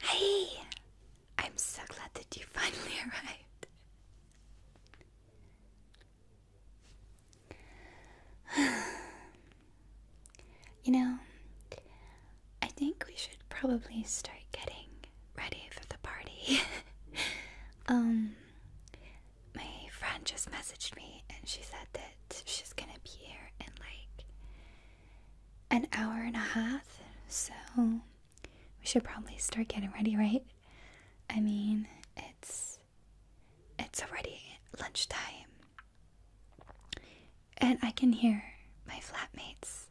Hey! I'm so glad that you finally arrived. you know, I think we should probably start getting ready for the party. um, my friend just messaged me and she said that she's gonna be here and like an hour and a half, so we should probably start getting ready, right? I mean, it's it's already lunchtime. And I can hear my flatmates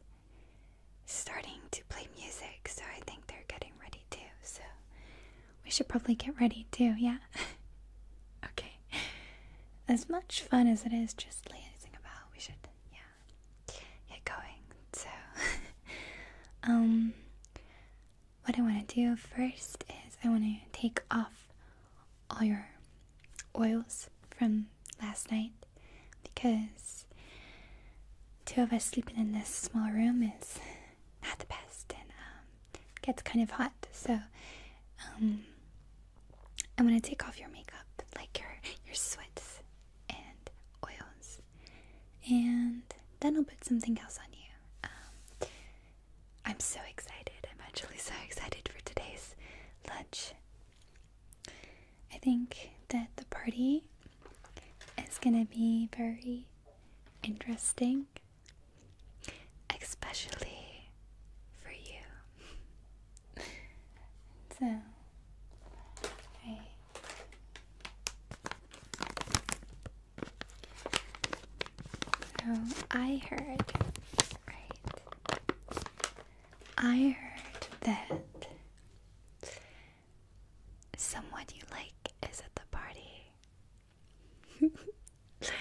starting to play music, so I think they're getting ready too. So we should probably get ready too, yeah? okay. As much fun as it is just lazing about, we should, yeah get going. So, um, what I want to do first is I want to take off all your oils from last night because two of us sleeping in this small room is not the best and um, gets kind of hot. So, um, I'm gonna take off your makeup, like your your sweats and oils, and then I'll put something else on you. Um, I'm so excited. I'm actually so excited for today's lunch. I think that the party is gonna be very interesting, especially for you so right. Oh, so I heard, right? I heard that someone you like is at the party.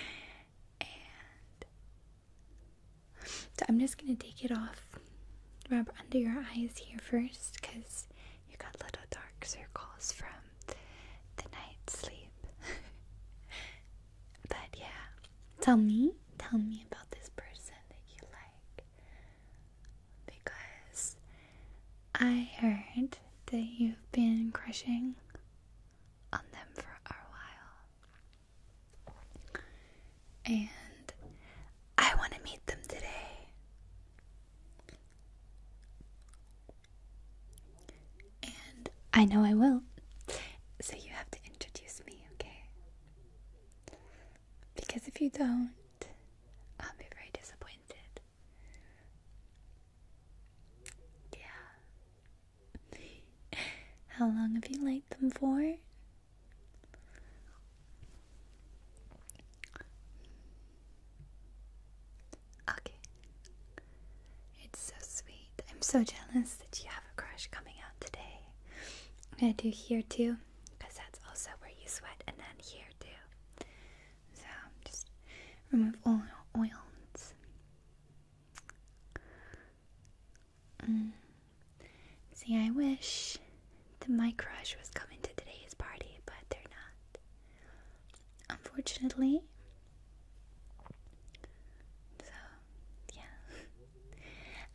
and so I'm just gonna take it off, rub under your eyes here first, cause you got little dark circles from the night sleep. but yeah, tell me, tell me about this person that you like, because I heard that you've been crushing on them for a while. And I want to meet them today. And I know I will. So you have to introduce me, okay? Because if you don't, I'll be very disappointed. Yeah. How long have you liked them for? Okay. It's so sweet. I'm so jealous that you have a crush coming out today. I'm gonna do here too, because that's also where you sweat, and then here too. So just remove all oils. Mm. See, I wish that my crush was coming to today's party, but they're not. Unfortunately. So, yeah.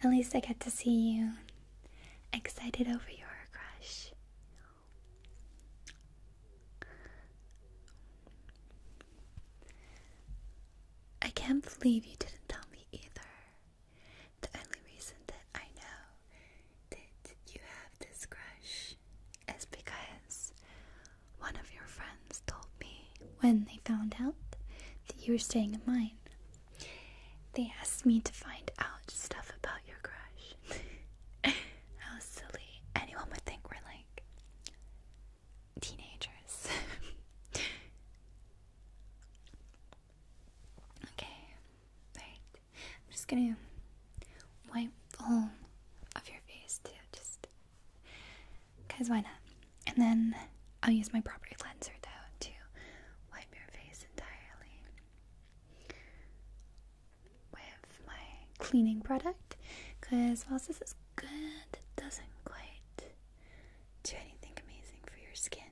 At least I get to see you excited over your crush. I can't believe you didn't tell me either. The only reason that I know that you have this crush is because one of your friends told me when they found out that you were staying at mine. They asked me to find out stuff about your crush. How silly. Anyone would think we're like teenagers. Okay, right. I'm just gonna wipe all of your face too, just because why not? And then I'll use my proper cleanser though to wipe your face entirely with my cleaning product because while this is good, it doesn't quite do anything amazing for your skin.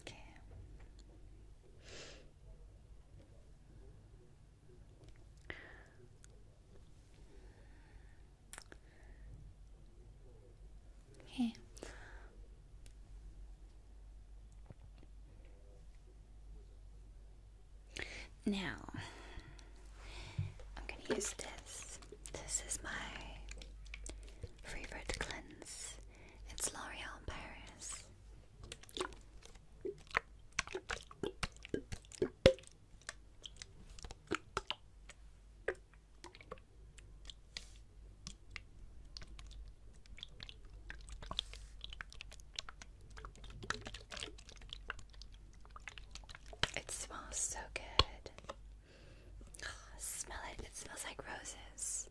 Okay. Okay. Now, I'm going to use this this is my favorite cleanse. It's L'Oreal Paris. It smells so good. Oh, smell it. It smells like roses.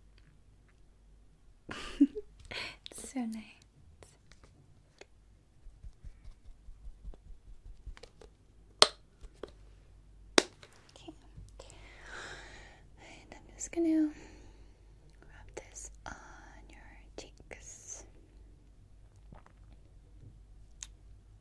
it's so nice. Okay. And I'm just going to rub this on your cheeks.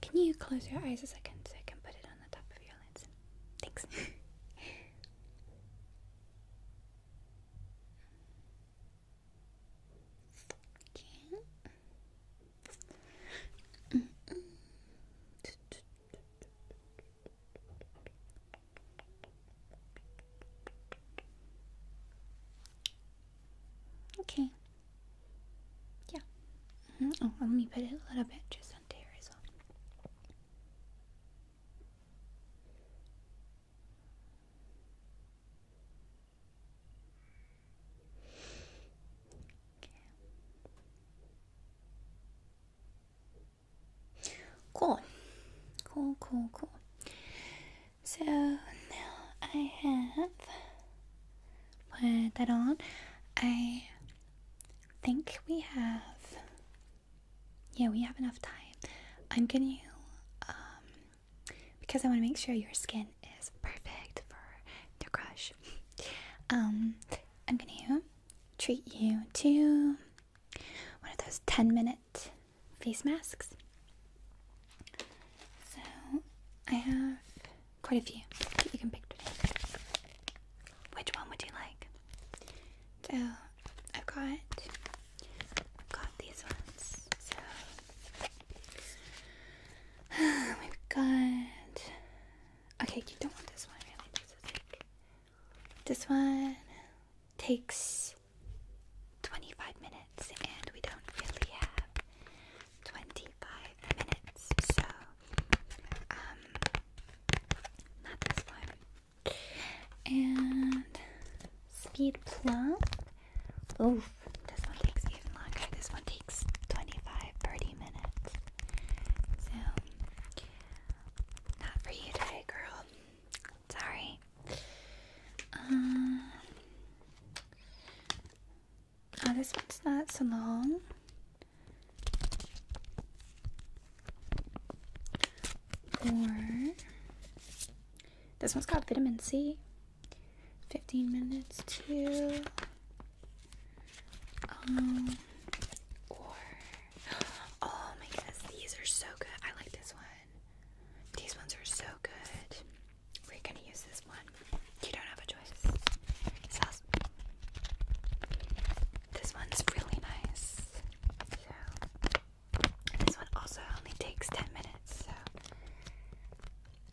Can you close your eyes a second so I can put it on the top of your lens? Thanks. okay. okay. Yeah. Mm-hmm. Oh, let me put it a little bit just onto here as well. Cool. Cool, cool, cool. So now I have put that on. I think we have, yeah, we have enough time. I'm gonna, um, because I want to make sure your skin is perfect for your crush. um, I'm gonna treat you to one of those 10 minute face masks. So I have Quite a few that you can pick Which one would you like? So I've got got these ones. So we've got Okay, you don't want this one really. this one takes 25 minutes and we don't really have 25 minutes. So, um, not this one. And Speed Plum. Oof, this one takes even longer. This one takes 25 30 minutes. So, not for you today, girl. Sorry. Um, Ah, this one's not so long. Or this one's called Vitamin C. 15 minutes too. Um, oh my goodness, these are so good. I like this one. These ones are so good. We're gonna use this one. You don't have a choice. This one's really nice. So this one also only takes ten minutes. So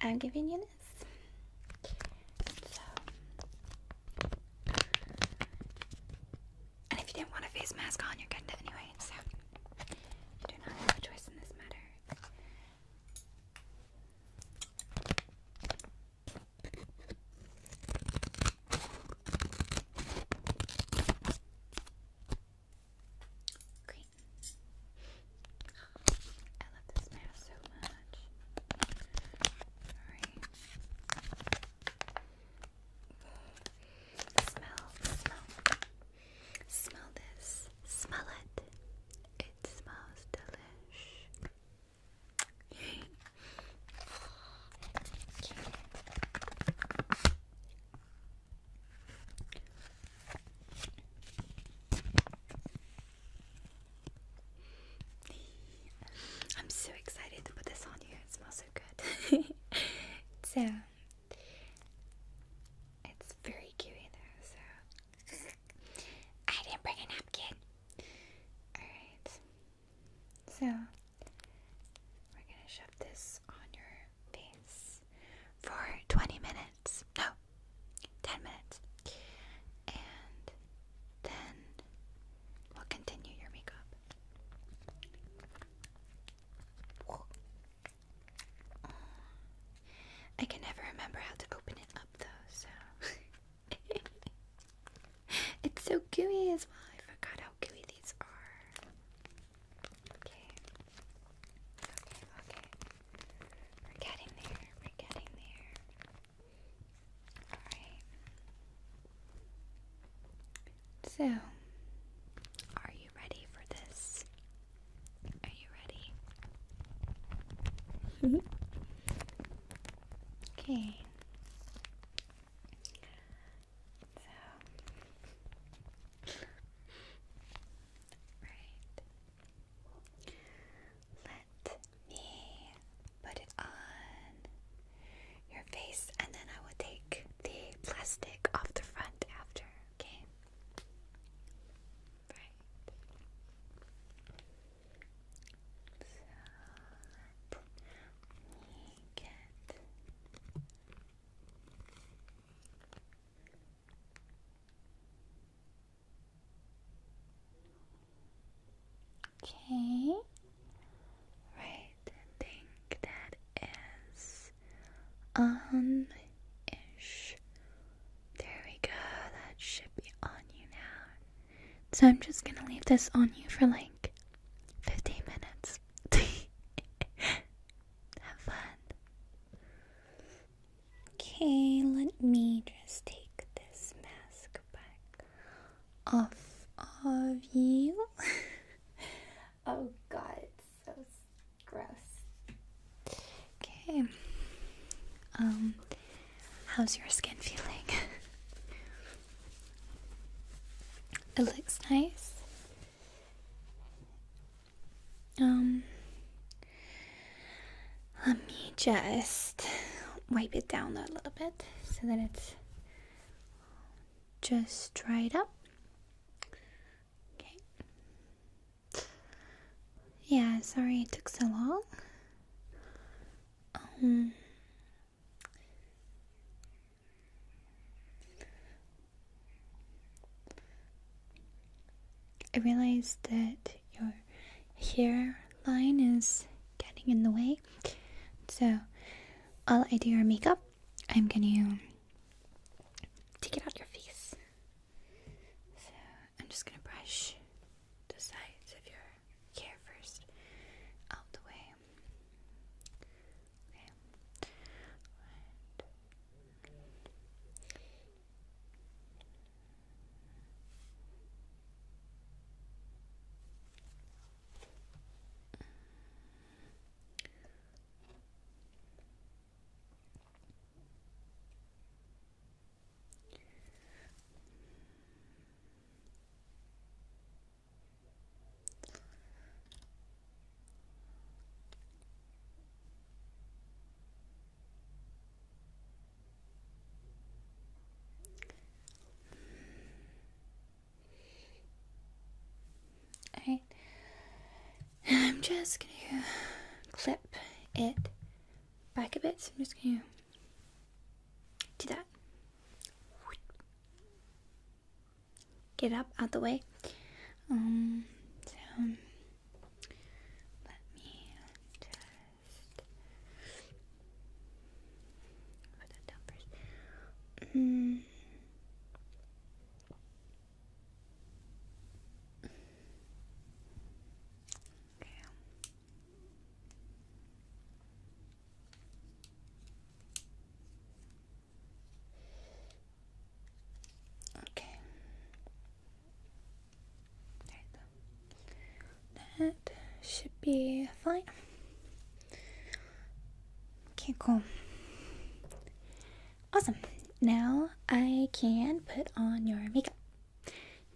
I'm giving you this. So. And if you didn't want a face mask on, you're good anyway, so you do not have a choice in this matter. Great. I love this mask so much. Alright. Smell, smell. Smell this. Smell it. It smells delicious. I'm so excited to put this on you. It smells so good. so it's very gooey I didn't bring a napkin. Alright. So, we're gonna shove this on your face for 20 minutes. No, 10 minutes. And then we'll continue your makeup. I can never remember how to open it so it's so gooey as well. I forgot how gooey these are. Okay. Okay, okay. We're getting there. We're getting there. Alright. So, are you ready for this are you ready? okay. So. right. Let me put it on your face and then I will take the plastic off the front after, okay? let me get Okay. Right, think that is on ish. There we go. That should be on you now. So I'm just gonna leave this on you for like 15 minutes. Have fun. Okay, let me just take this mask back off of you. oh god, it's so gross. Okay. Um, how's your skin feeling? it looks nice. Um, let me just wipe it down a little bit so that it's just dried up. Okay. Yeah, sorry it took so long. Um, I realized that your hairline is getting in the way. So, while I do your makeup, I'm gonna take it out your face. I'm just gonna brush the sides of your hair first out the way right, I'm just gonna clip it back a bit. So I'm just going to do that. Get up out the way. Um, let me just put that down mm. Okay. Okay. There That should be fine. Okay, cool. Awesome. Now I can put on your makeup.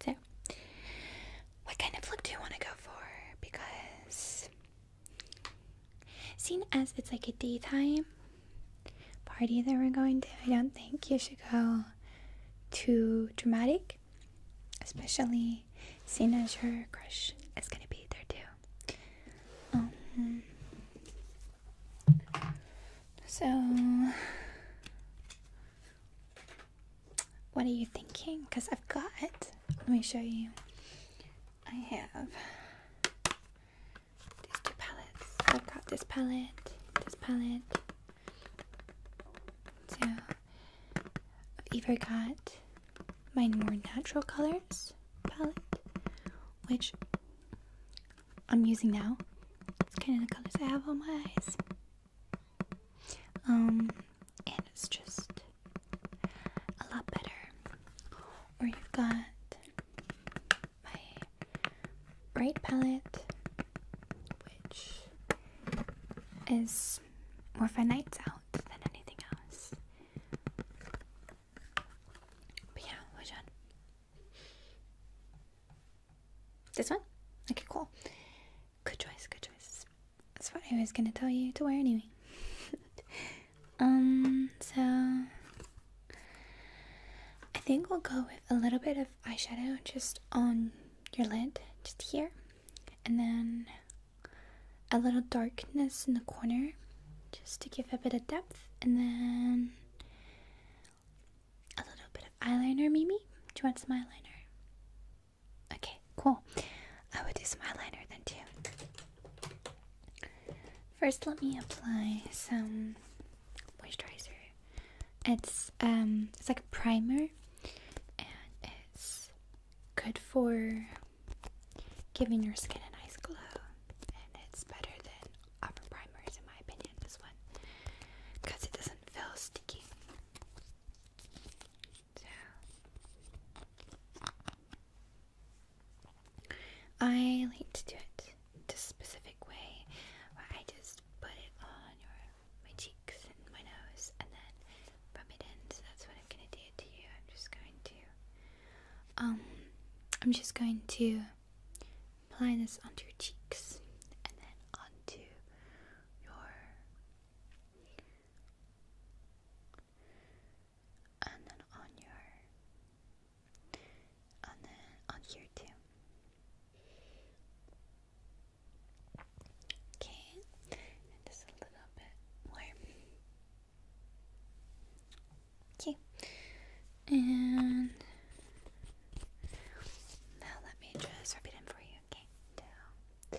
So, what kind of look do you want to go for? Because, seeing as it's like a daytime party that we're going to, I don't think you should go too dramatic, especially seeing as your crush is gonna be there too. Um, so, what are you thinking? Because I've got it. Let me show you. I have these two palettes. I've got this palette, this palette. So I've either got my more natural colors palette, which I'm using now. It's kind of the colors I have on my eyes. Um, and it's just a lot better. Or you've got my bright palette, which is more for nights out than anything else. But yeah, which one? This one? Okay, cool. Good choice, good choice. That's what I was gonna tell you to wear anyway. um, so I think we'll go with a little bit of eyeshadow just on your lid, just here, and then a little darkness in the corner just to give a bit of depth, and then a little bit of eyeliner, Mimi. Do you want some eyeliner? Okay, cool. I would do some eyeliner then too. First, let me apply some moisturizer. It's um, it's like a primer, and it's good for giving your skin a nice glow. And it's better than other primers, in my opinion. This one, because it doesn't feel sticky. I like to do it a specific way where I just put it on your my cheeks and my nose and then rub it in. So that's what I'm gonna do to you. I'm just going to um I'm just going to apply this onto your cheeks and then onto your and then on your and then on here too. Okay, just a little bit more. Okay, and now let me just repeat them for you. Okay, down.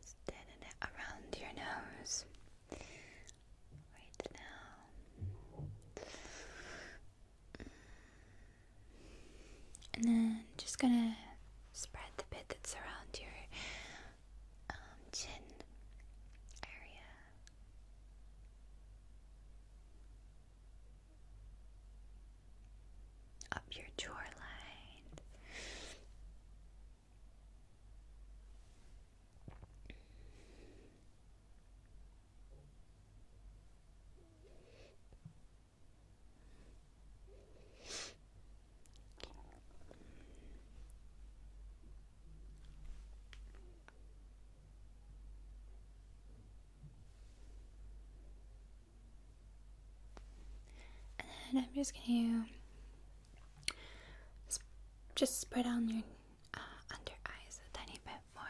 Instead of around your nose. Right now. And then just gonna spread the bit that's around your um, chin area up your jawline. And I'm just gonna just spread on your uh, under eyes a tiny bit more.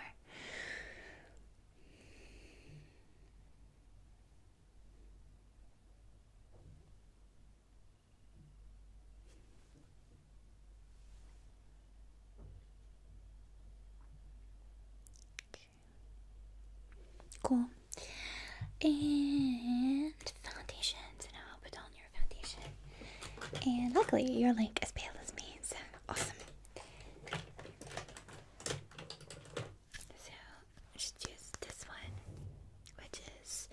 Cool. And foundation. So now I'll put on your foundation. And luckily, your are is pale as me, so awesome. So just use this one, which is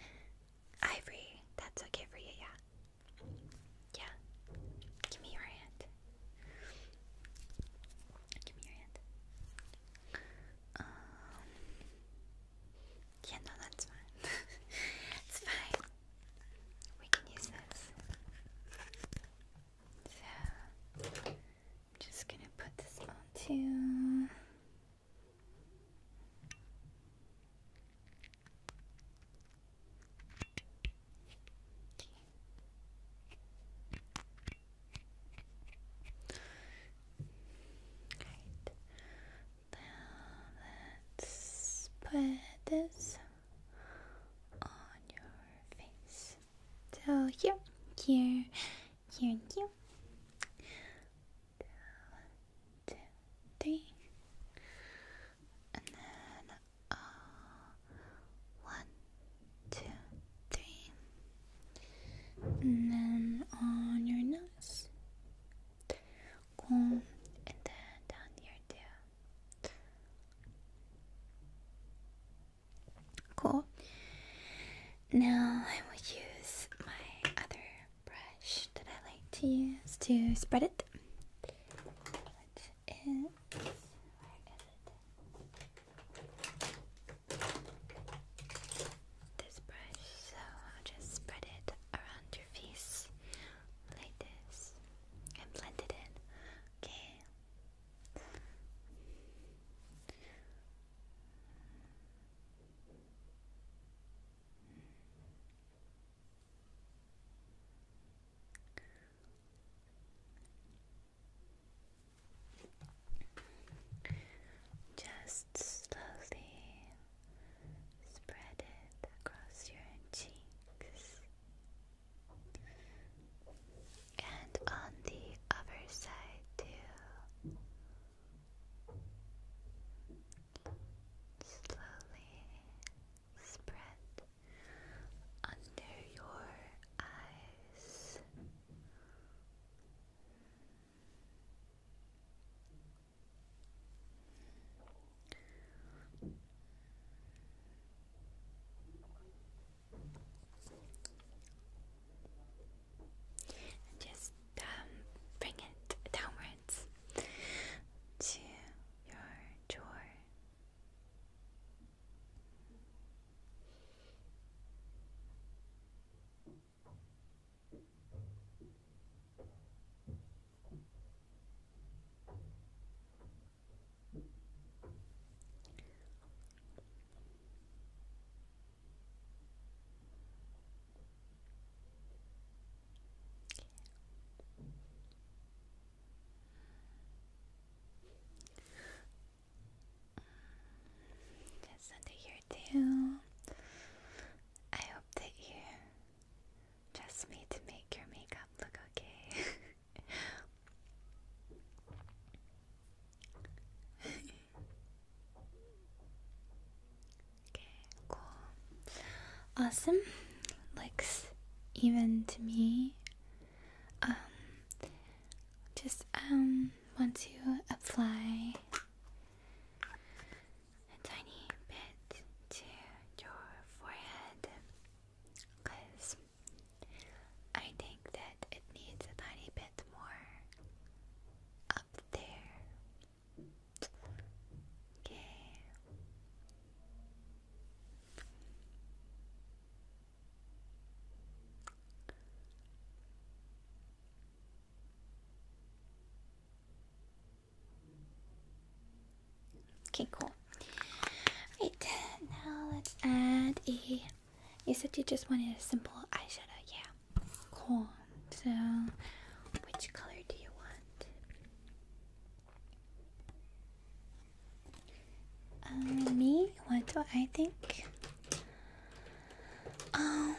ivory. That's okay for you, yeah. Yeah. Give me your hand. Give me your hand. Um. Yeah, no, that's fine. it's fine. We can use this. So, I'm just gonna put this on too. Now let's put this on your face. So here, here, here, here and then uh, one, two, three, and then on your nose, comb, and then down here too. Cool. Now I will use my other brush that I like to use to spread it which is where is This brush, so I'll just spread it around your face like this and blend it in. Okay. Just slowly spread it across your cheeks. And on the other side, too. Slowly spread under your eyes. just um, bring it downwards to your jaw. That's under here too. I hope that you trust me to make your makeup look okay. okay, cool. Awesome looks even to me. Um, just um, want to apply a tiny bit to your forehead because I think that it needs a tiny bit more up there. Okay. Okay, cool. Right, now let's add a. You said you just wanted a simple eyeshadow, yeah. Cool. So, which color do you want? Um, me? What do I think? Um,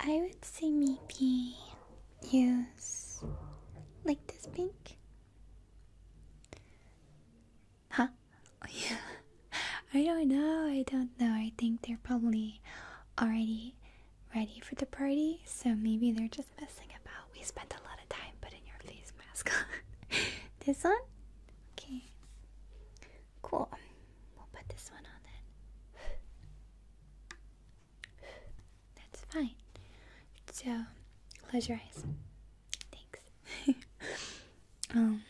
I would say maybe use like this pink. Huh? yeah. I don't know. I don't know. I think they're probably already ready for the party, so maybe they're just messing about. We spent a lot of time putting your face mask on. this one? Okay. Cool. We'll put this one on then. That's fine. So, close your eyes. Thanks. um,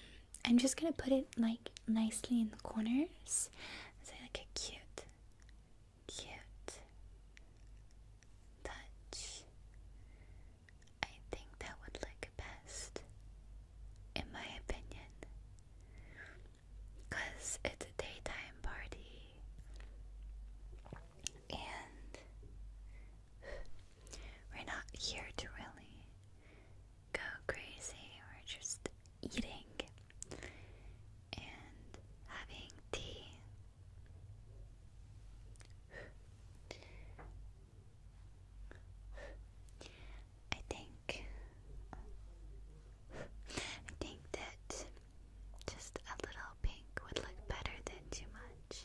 I'm just gonna put it like nicely in the corners. So, like a cute cute touch. I think that would look best, in my opinion, because it's a daytime party and we're not here to really go crazy, we just eating and having tea. I think I think that just a little pink would look better than too much.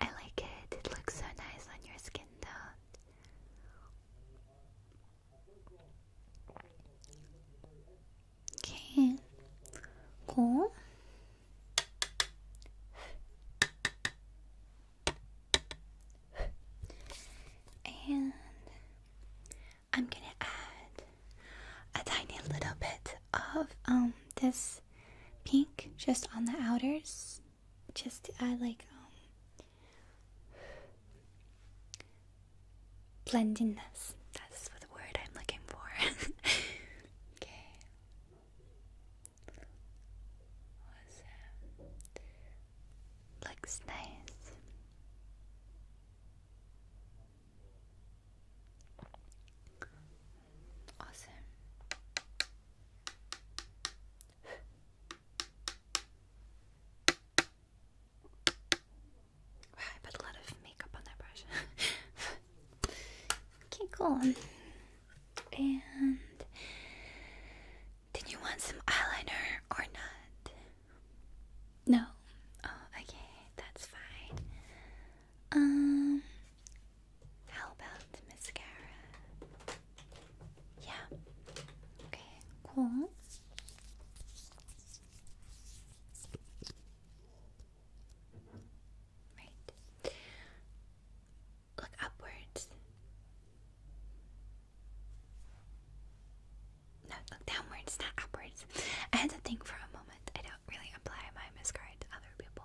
I like it. It looks so nice on your skin tone. Okay. go, And I'm gonna add a tiny little bit of um this pink just on the outers just to like um blendingness. That's what the word I'm looking for. okay. Looks nice. Awesome. Wow, I put a lot of makeup on that brush. okay, cool. And did you want some eyeliner or not? No. Oh, okay, that's fine. Um, how about mascara? Yeah. Okay, cool. Right. Look upwards. No, look downwards, not upwards. I had to think for a moment. I don't really apply my mascara to other people.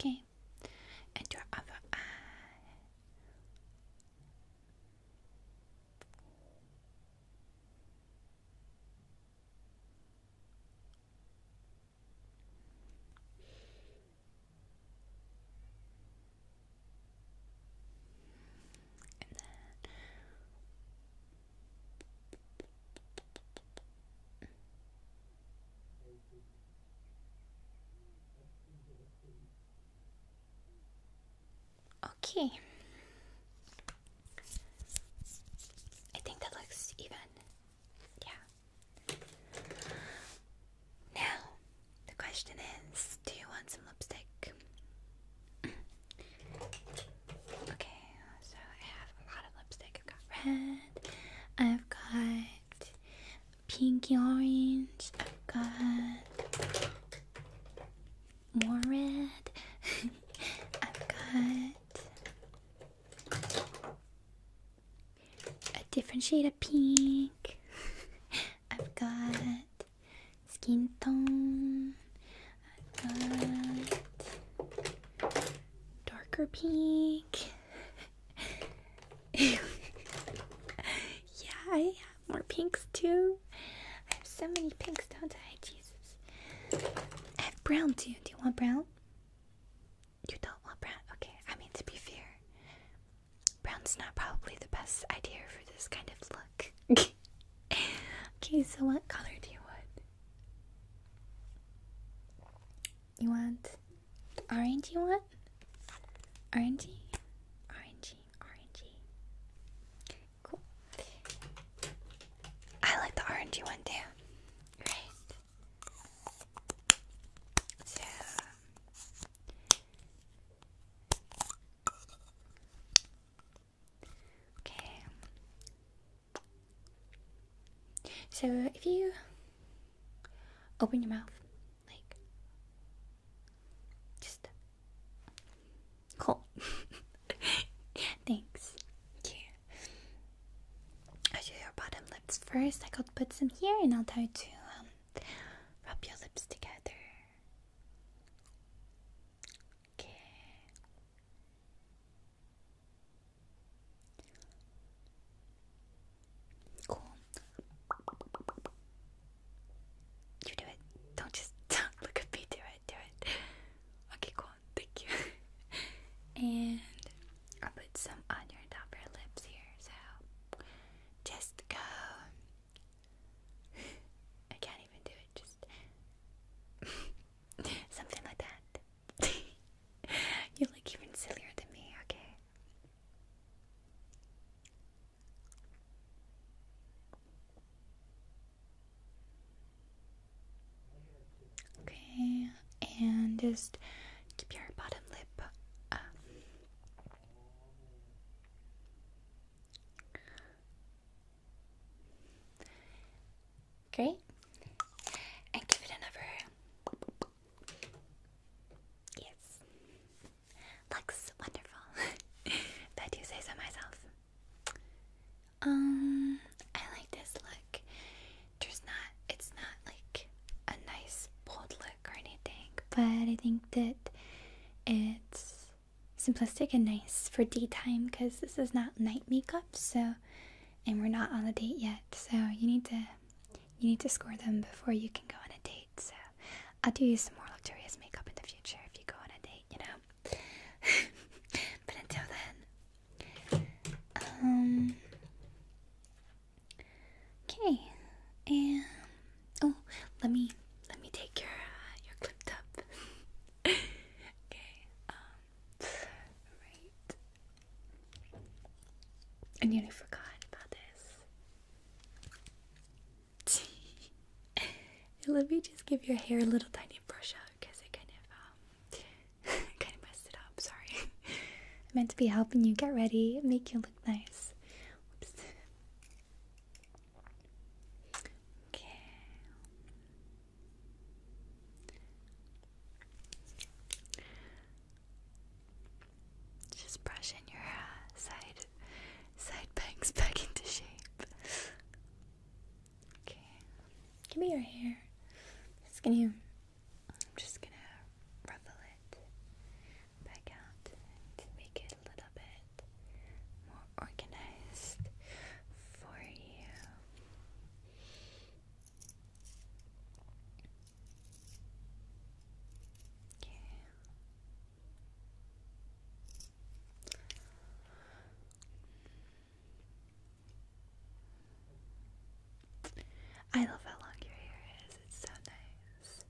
Okay, and your other eye. And then Okay. I think that looks even. Yeah. Now, the question is do you want some lipstick? Okay, so I have a lot of lipstick. I've got red, I've got pinky orange, I've got more red, I've got a different shade of pink, I've got skin tone darker pink. yeah, I have more pinks too. I have so many pinks, don't I? Jesus. I have brown too. Do you want brown? You don't want brown? Okay, I mean, to be fair, brown's not probably the best idea for this kind of look. okay, so what color do you want? You want the orangey one? Orangey? Orangey, orangey. Cool. I like the orangey one too. Right. So Okay. So if you open your mouth, like just cool. Thanks. Yeah. I'll do your bottom lips first. I could put some here, and I'll try to um, rub your lips together. Okay. Cool. You do it. Don't just look at me. Do it. Do it. Okay, cool. Thank you. and i put some on your top of lips here. So just go. I can't even do it. Just best. Something like that. you look even sillier than me, okay? Okay, and just keep your bottom lip up. Great. And give it another. Yes. Looks wonderful. Bet you say so myself. Um, I like this look. There's not, it's not like a nice bold look or anything, but I think that it's simplistic and nice for daytime because this is not night makeup so and we're not on a date yet so you need to you need to score them before you can go on a date so i'll do you some more luxurious makeup in the future if you go on a date you know but until then um okay and oh let me let me take your uh, your clipped up okay um, Right. I nearly forgot about this. Let me just give your hair a little tiny brush out because I kind of um kind of messed it up. Sorry. I meant to be helping you get ready, make you look nice. Okay. Just brushing your side side bangs back into shape. Okay, give me your hair. Just gonna, I'm just gonna ruffle it back out to make it a little bit more organized for you. I love how long your hair is. It's so nice.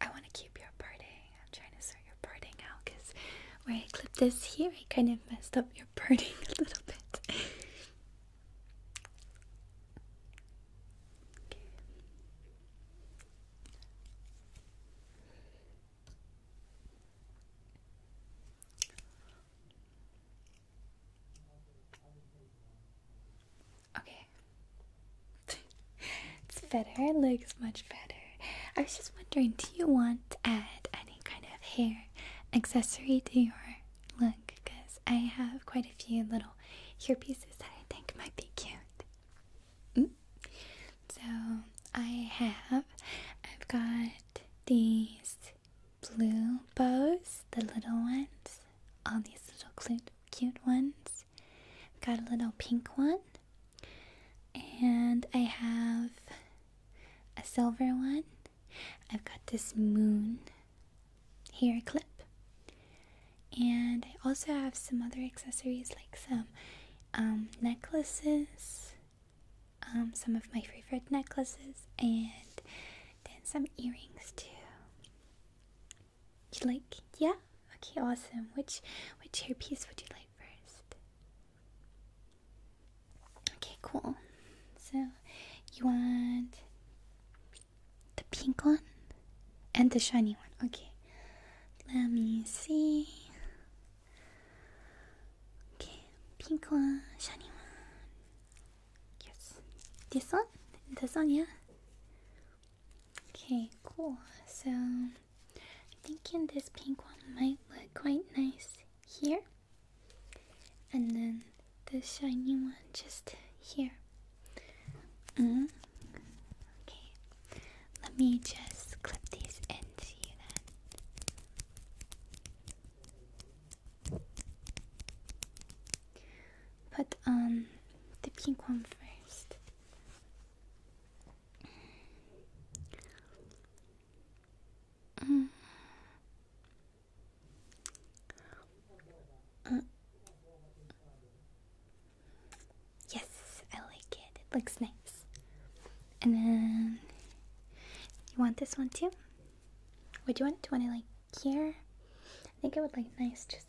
I want to keep your birding. I'm trying to sort your parting out because when I clipped this here, I kind of messed up your parting a little bit. Okay, it's better. It looks much better. I was just wondering, do you want to add any kind of hair accessory to your look? Because I have quite a few little hair pieces that I think might be cute. Mm. So I have, I've got these blue bows, the little ones. All these little cute, cute ones. I've got a little pink one. And I have a silver one. I've got this moon hair clip. And I also have some other accessories like some um, necklaces, um, some of my favorite necklaces, and then some earrings too. You like, yeah? Okay, awesome. Which which hairpiece would you like first? Okay, cool. So you want the pink one and the shiny one. Okay. Let me see. Okay, pink one, shiny one. Yes. This one? This one, yeah? Okay, cool. So, I'm thinking this pink one might look quite nice here. And then the shiny one just here. Mm. Okay, let me just clip these in to you then put on the pink one first. Mm. Uh. Yes, I like it. It looks nice. And then you want this one too? Would you want? Do you want it like here? I think it would look nice just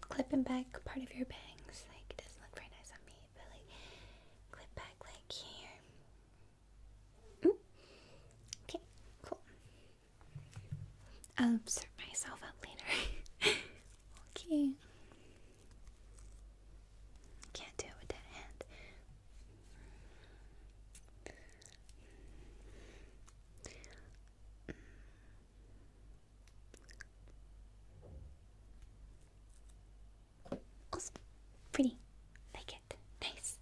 clipping back part of your bangs. Like it doesn't look very nice on me, but like clip back like here. Okay, cool. I'll observe myself out later. okay. Can't do it with that hand. Awesome. Pretty. Like it. Nice.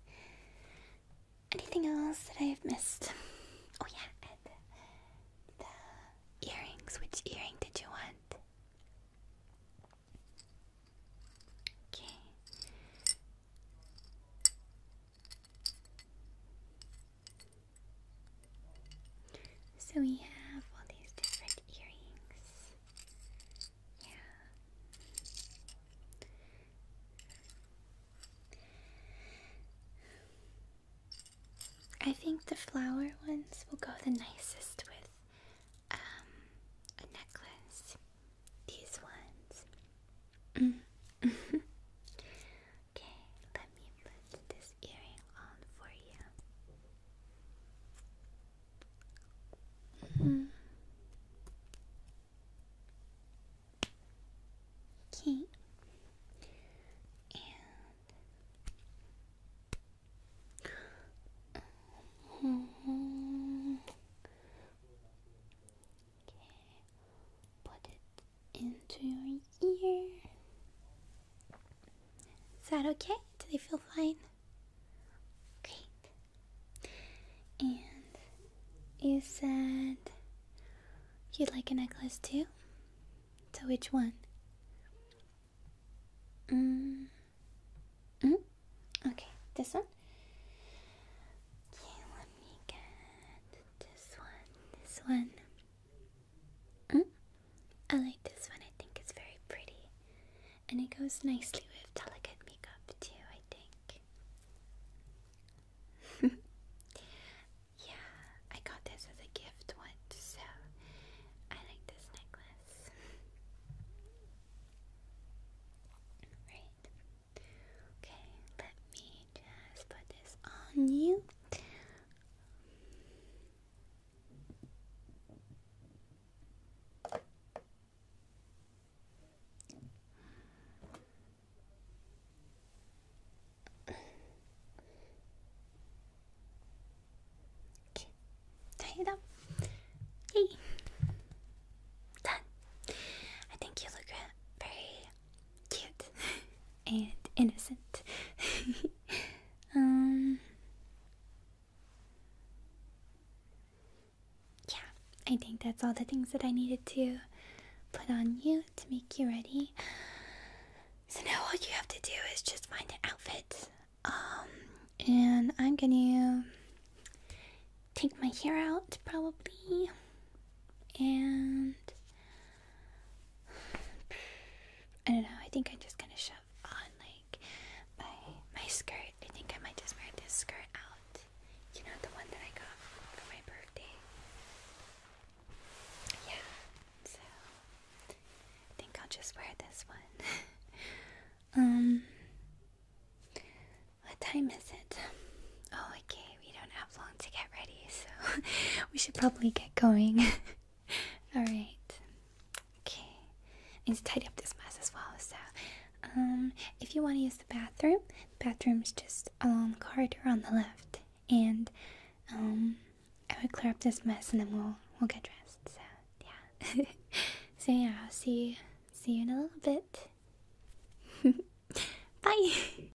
Anything else that I have missed? Oh, yeah, the earrings. Which earring did you want? Okay. So we have all these different earrings. Yeah. I think the flower ones will go the nicest with um, a necklace. These ones. Mm. Okay, let me put this earring on for you. Mm-hmm. Okay, and -hmm. Okay, put it into your ear. Is that okay? Do they feel fine? Great. And you said you'd like a necklace too? So which one? Mm. Mm? Okay, this one? Okay, let me get this one, this one. Mm? I like this one. I think it's very pretty. And it goes nicely with delicate makeup, too, I think. yeah, I got this as a gift once, so I like this necklace. right. Okay, let me just put this on you. Okay, tie it up. Hey, done. I think you look uh, very cute. and innocent. um, yeah, I think that's all the things that I needed to put on you to make you ready. So now all you have to do is just find an outfit. Um, and I'm gonna take my hair out probably and I don't know. I think I'm just gonna shove on like my my skirt. I think I might just wear this skirt out. You know the one that I got for my birthday. Yeah. So I think I'll just wear this one. um. What time is it? Oh, okay we don't have long to get ready, so we should probably get going. Alright. Okay. I need to tidy up this mess as well, so um if you want to use the bathroom, bathroom's just along the corridor on the left. And um I would clear up this mess and then we'll we'll get dressed. So yeah. so yeah, I'll see see you in a little bit. Bye